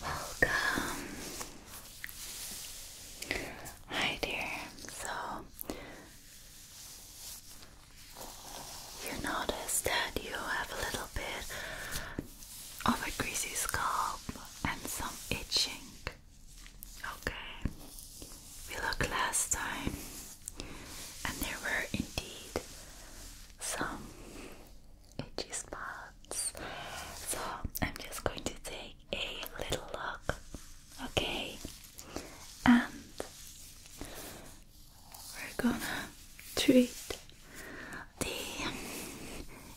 Welcome. Hi, dear. So, you notice that you have a little bit of a greasy scalp and some itching. Okay, we looked last time, and there were indeed some itchy spots. So I'm just going to take a little look, okay? And we're gonna treat the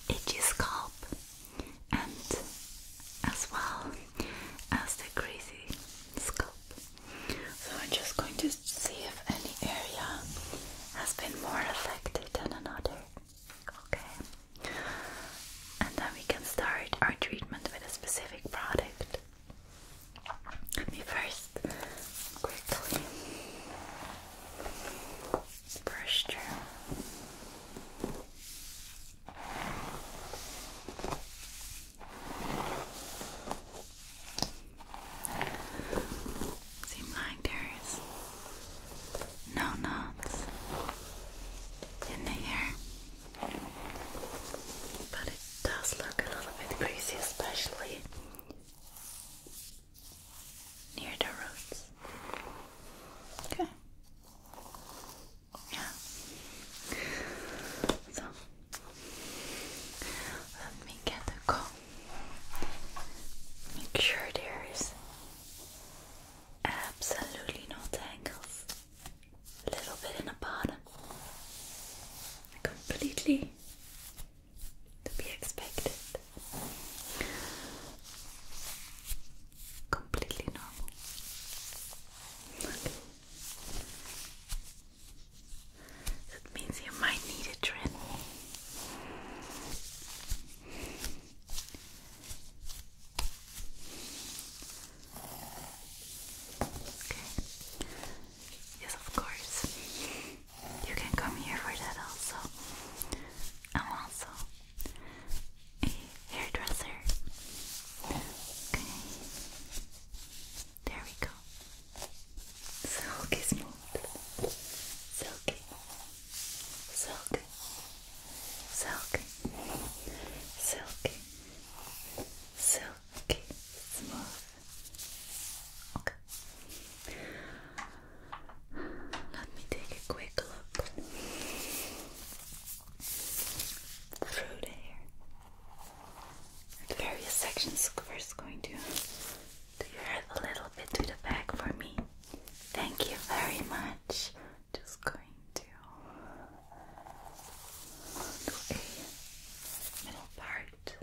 itchy scalp and as well as the greasy scalp. So I'm just going to just see if any area has been more affected than another. Okay. And then we can start our treatment with a specific product. Let me first quickly brush through. Seems like there's no knots in the air, but it does look a little bit greasy, especially near the roots. Okay. Yeah. So let me get a comb Make sure there is absolutely no tangles. A little bit in the bottom. Completely to be expected. Completely normal. That means you might need a trim. Okay. Yes, of course. You can come here for that also. I'm also a hairdresser. Okay. There we go. Silky smooth. Silky. Silky. Silky. Silky. Silky smooth. Okay. Let me take a quick look through the various sections. First, going to do you have a little bit to the back for me? Thank you very much. Just going to do a middle part.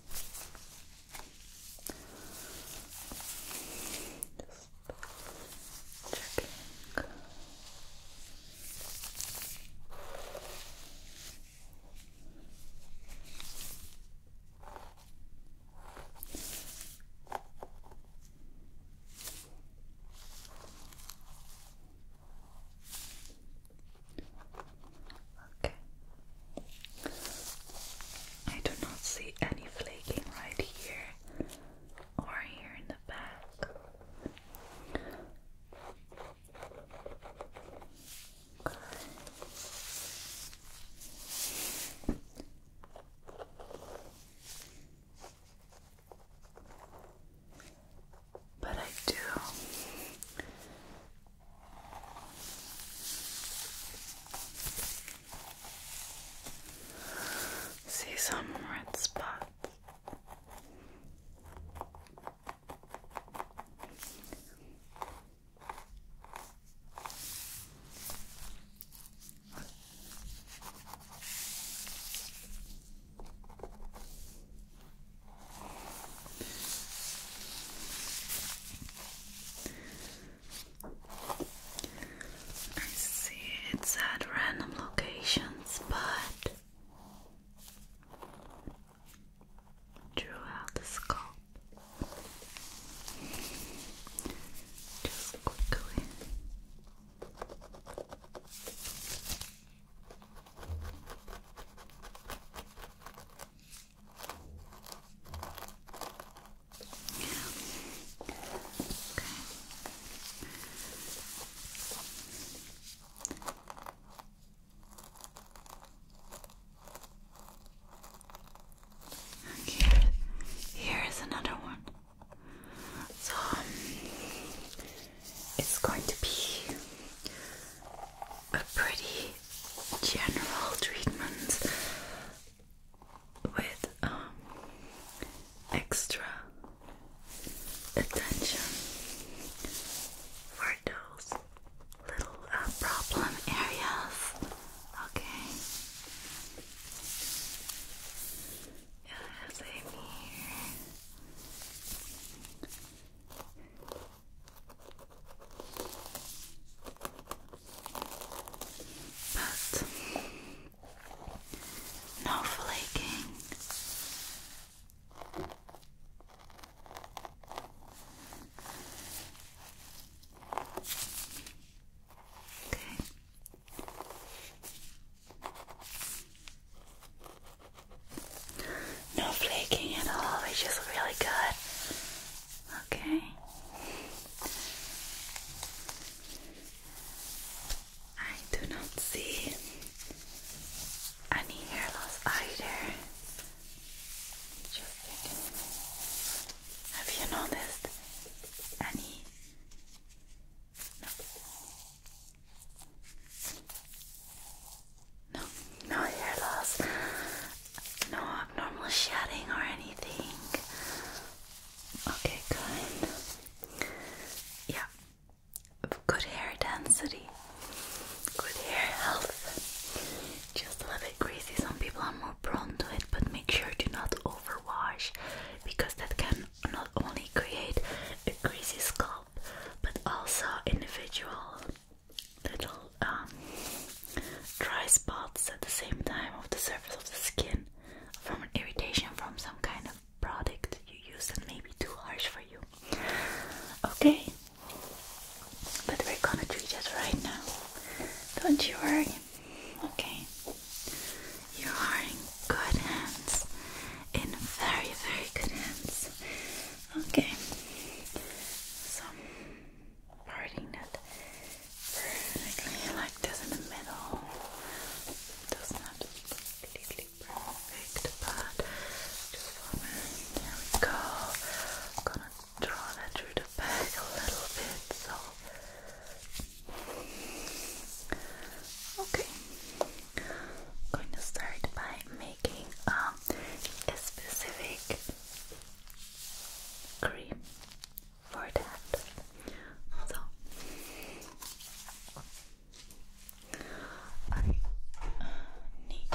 Just checking. Okay. I do not see any flaking right here or here in the back. But I do See some red spots. I see it's at random locations, but drew out the scope. Just quickly. Okay. Here is another one. So um, it's going to be a pretty general treatments with um, extra attention for those little uh, problem areas. Okay. Yeah, same here no flaking. Okay. No flaking at all, which is really good. Okay. I do not see any hair loss either. Have you noticed any? No, no hair loss. No abnormal shedding or anything. Okay, good. Yeah. Good hair density. Good hair health. Just a little bit greasy. Some people are more prone to it, but make sure to not overwash because that can not only create a greasy scalp but also individual little um, dry spots at the same time of the surface of the skin from irritation from some kind of product you use that maybe too harsh for you. Okay, but we're gonna treat it right now. Don't you worry. Okay, you are in good hands, in very, very good hands. Okay, so parting it like this in the middle. does not completely perfect, but just go. gonna draw that through the back a little bit. So okay, going to start by making um, a specific cream for that. So I uh, need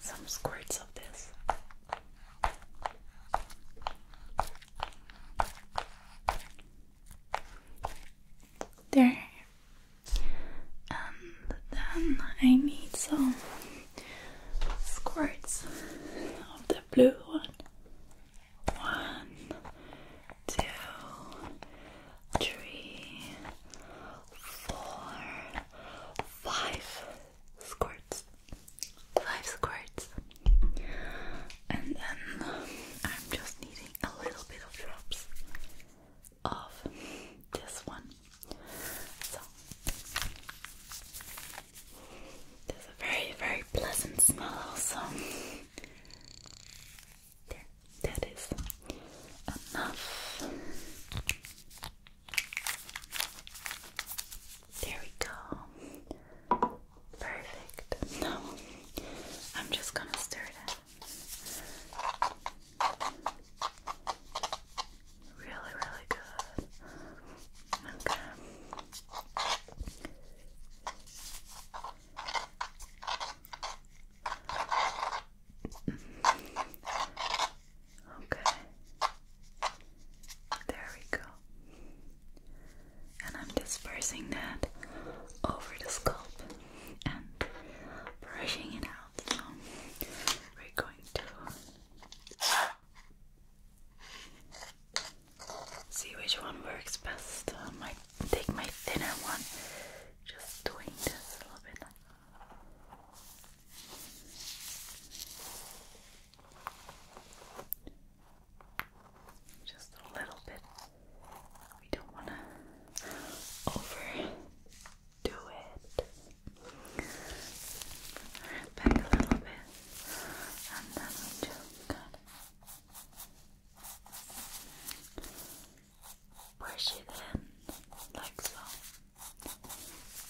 some squirts of this. There and um, then I need some squirts of the blue one. One, two, three, four, five squirts. Five squirts. And then I'm just needing a little bit of drops of this one. So there's a very, very pleasant smell also. There, that is enough. There we go. Perfect. Now I'm just gonna stir that. Really, really good. Okay. Okay. There we go. And I'm dispersing that over the scalp and brushing it out. we're going to see which one works best. Um, I take my thinner one. Just doing this a little bit. Just a little bit. We don't want to overdo it. Back a little bit, and then we just brush it in, like so.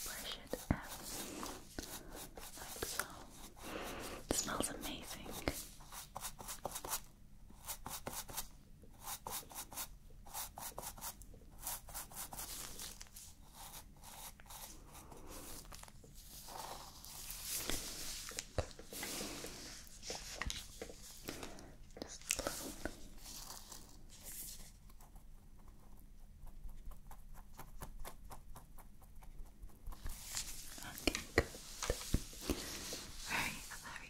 Brush it in, like so. smells amazing. Just a Okay, good. Very,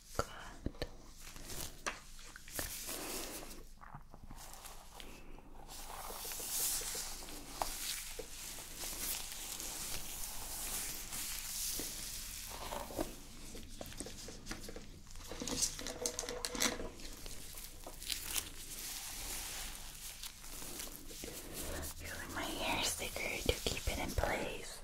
Good. Good. my hair sticker to keep it in place.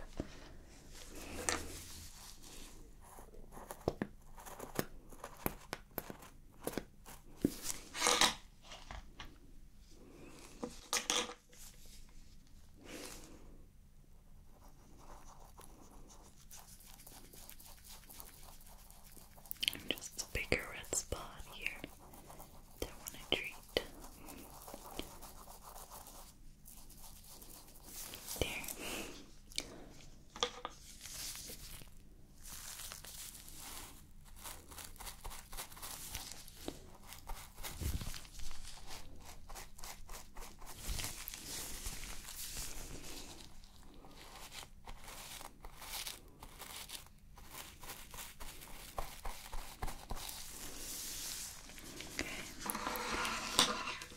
Just a bigger red spot here that I want to treat. There. Okay.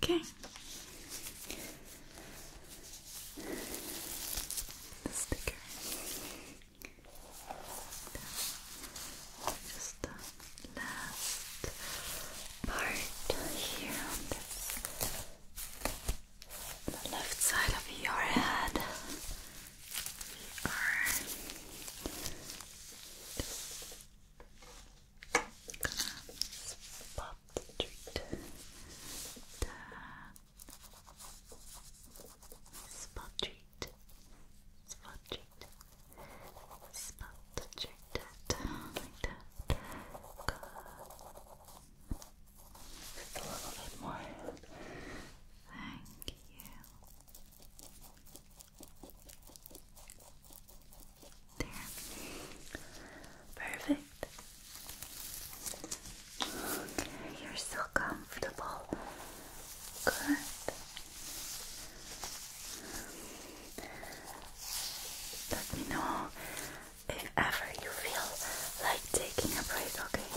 Okay. The sticker. Just uh, last part here on the left side of your head. We are treat spot treat spot treat spot that like that. Just a little bit more. Thank you. There. Perfect. you're so comfortable. Good. Let me know if ever you feel like taking a break, okay?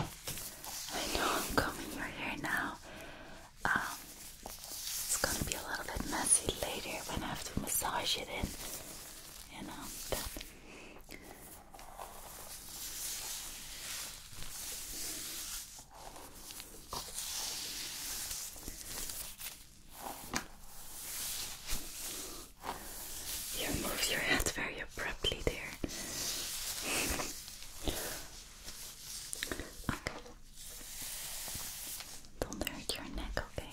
I know I'm combing your hair now. Um, it's gonna be a little bit messy later when I have to massage it in, you know. But you move your head very abruptly there. Don't hurt your neck, okay?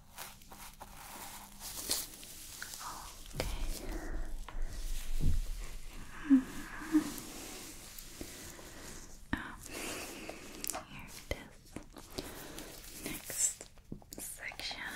Okay. Mm here it is. Next section.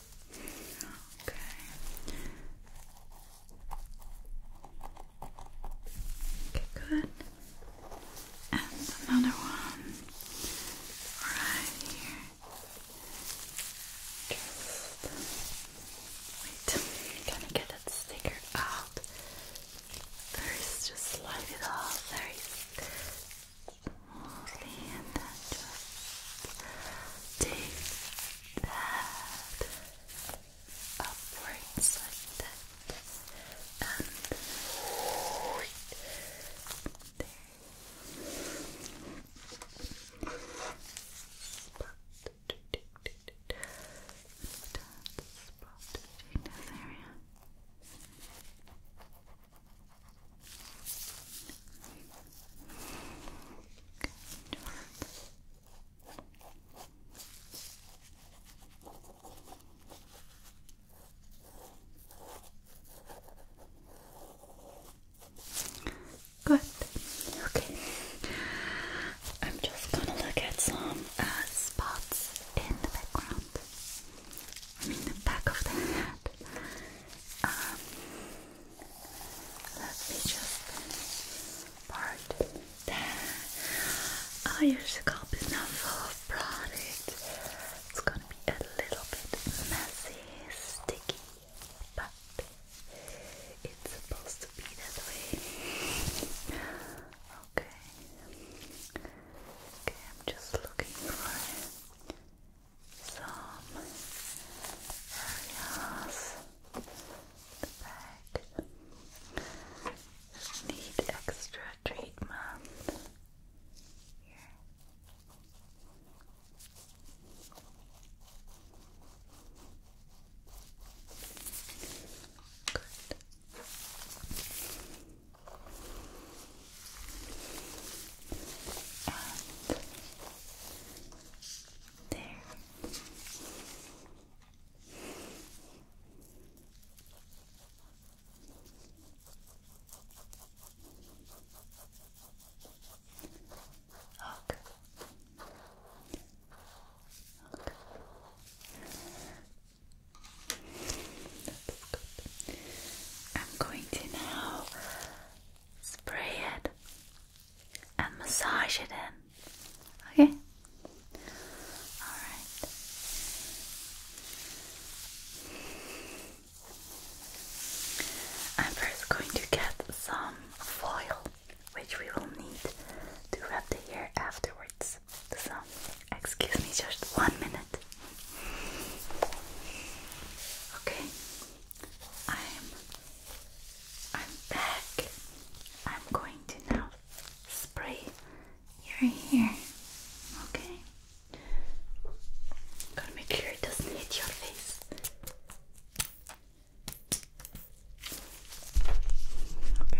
Okay. Okay, good. And another one right here. Just wait, gonna get that sticker out. First, just slide it off very smoothly and then just take that upwards like and there spot spot in this area Good Okay. I'm just gonna look at some uh, spots in the background. I mean the back of the head. Um, let me just part there. Oh, your scalp is now full of product. It's gonna be a little bit messy, sticky, but it's supposed to be that way. Okay. Okay, I'm just looking for some areas the back need extra treatment. Here. Good. There. Okay. Okay. I'm going to now spray it and massage it in. Okay? Alright. I'm first going to get some foil, which we will need to wrap the hair afterwards. So, excuse me just one minute. Okay, I'm I'm back. I'm going to now spray your hair. Okay. Gotta make sure it doesn't hit your face. Okay.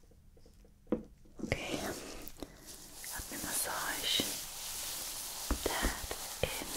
Okay, let me massage that in.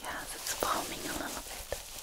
Yes, it's calming a little bit.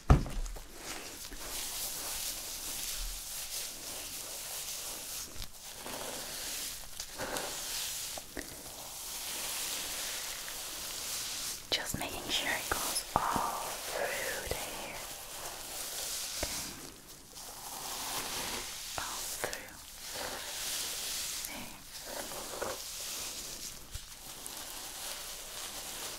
Just making sure it goes all through the hair. Okay. All through. There.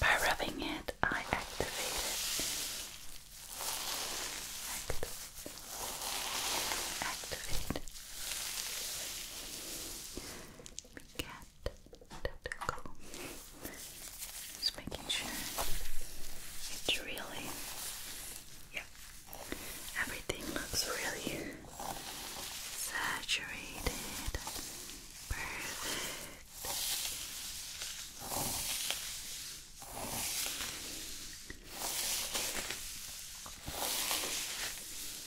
By rubbing it, I activate it. Activate cat tentacle. Just making sure it's really, yeah, everything looks really saturated. Perfect.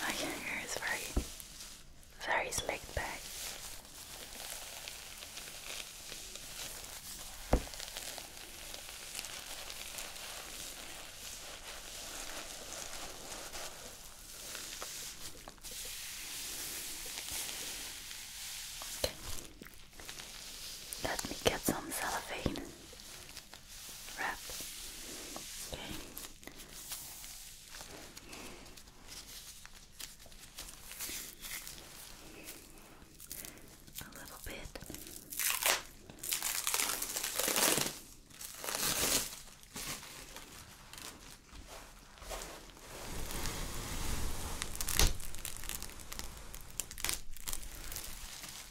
My hair is very, very slicked back. Okay. Let me get some cellophane wrap. Okay. A little bit.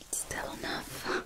It's still enough.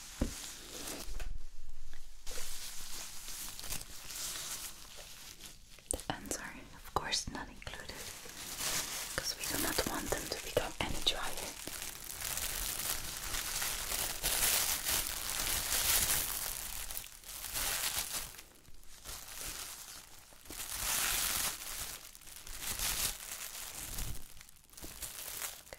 The ends are, of course, not included because we do not want them to become any dryer.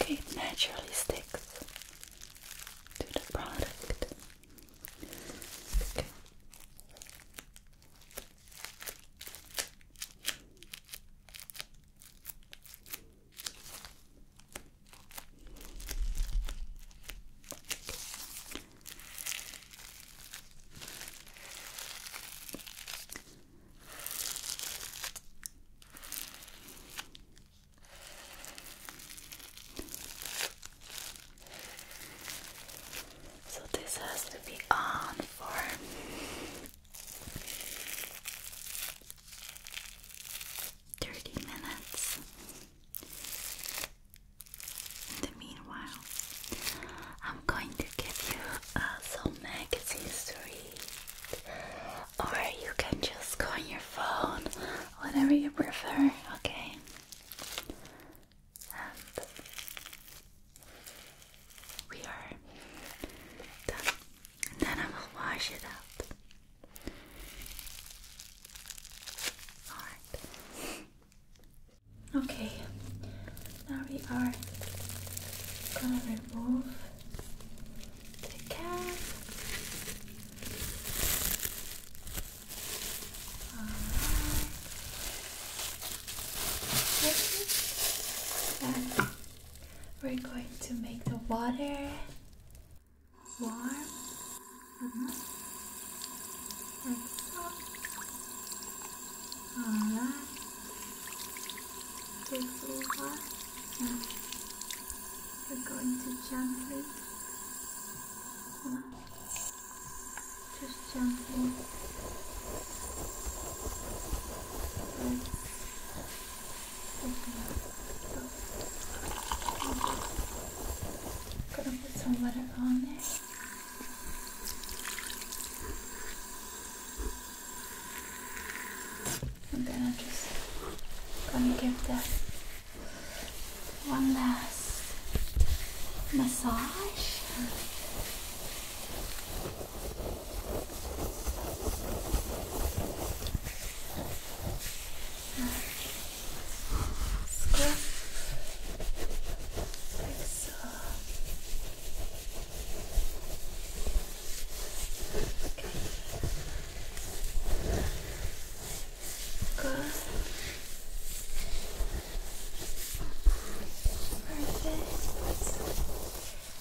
Okay, naturally sticks to the product. Okay. So this has to be on for thirty minutes. In the meanwhile, I'm going to give you uh, some magazines to read or you can just go on your phone, whatever you prefer, okay? And we are done. then I will wash it up. Alright. Okay, now we are gonna remove the cap. Alright. And we're going to make the water warm. Mm -hmm. Alright takes over and we're going to gently just gently Gonna put some water on there. And then I'm just gonna give that one last massage. Squirt. Like Good. Perfect.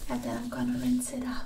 And then I'm gonna rinse it out.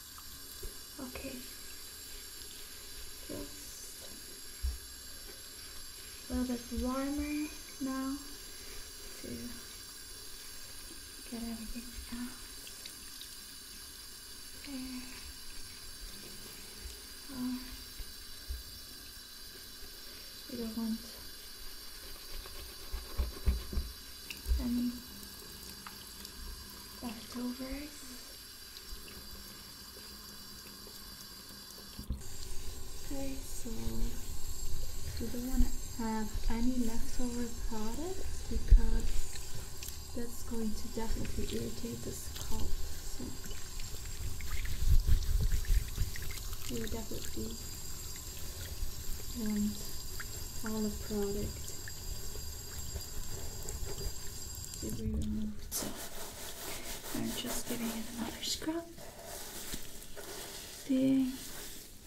Okay. Just a little bit warmer now to get everything out. There. Oh. We don't want any leftovers. Okay, so we don't want to have any leftover products because that's going to definitely irritate this scalp. So you definitely want all the product did we remove so I'm just giving it another scrub. See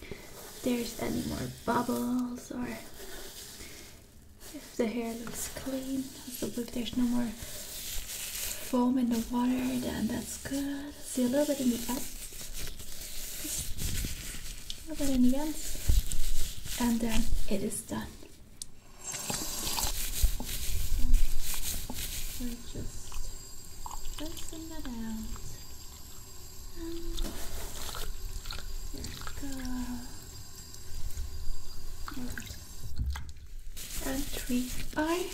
if there's any more bubbles or if the hair looks clean. So if there's no more foam in the water, then that's good. See a little bit in the back. Put it in again, and then it is done. just loosen that out. And we go. And three are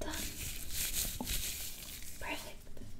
done. Perfect.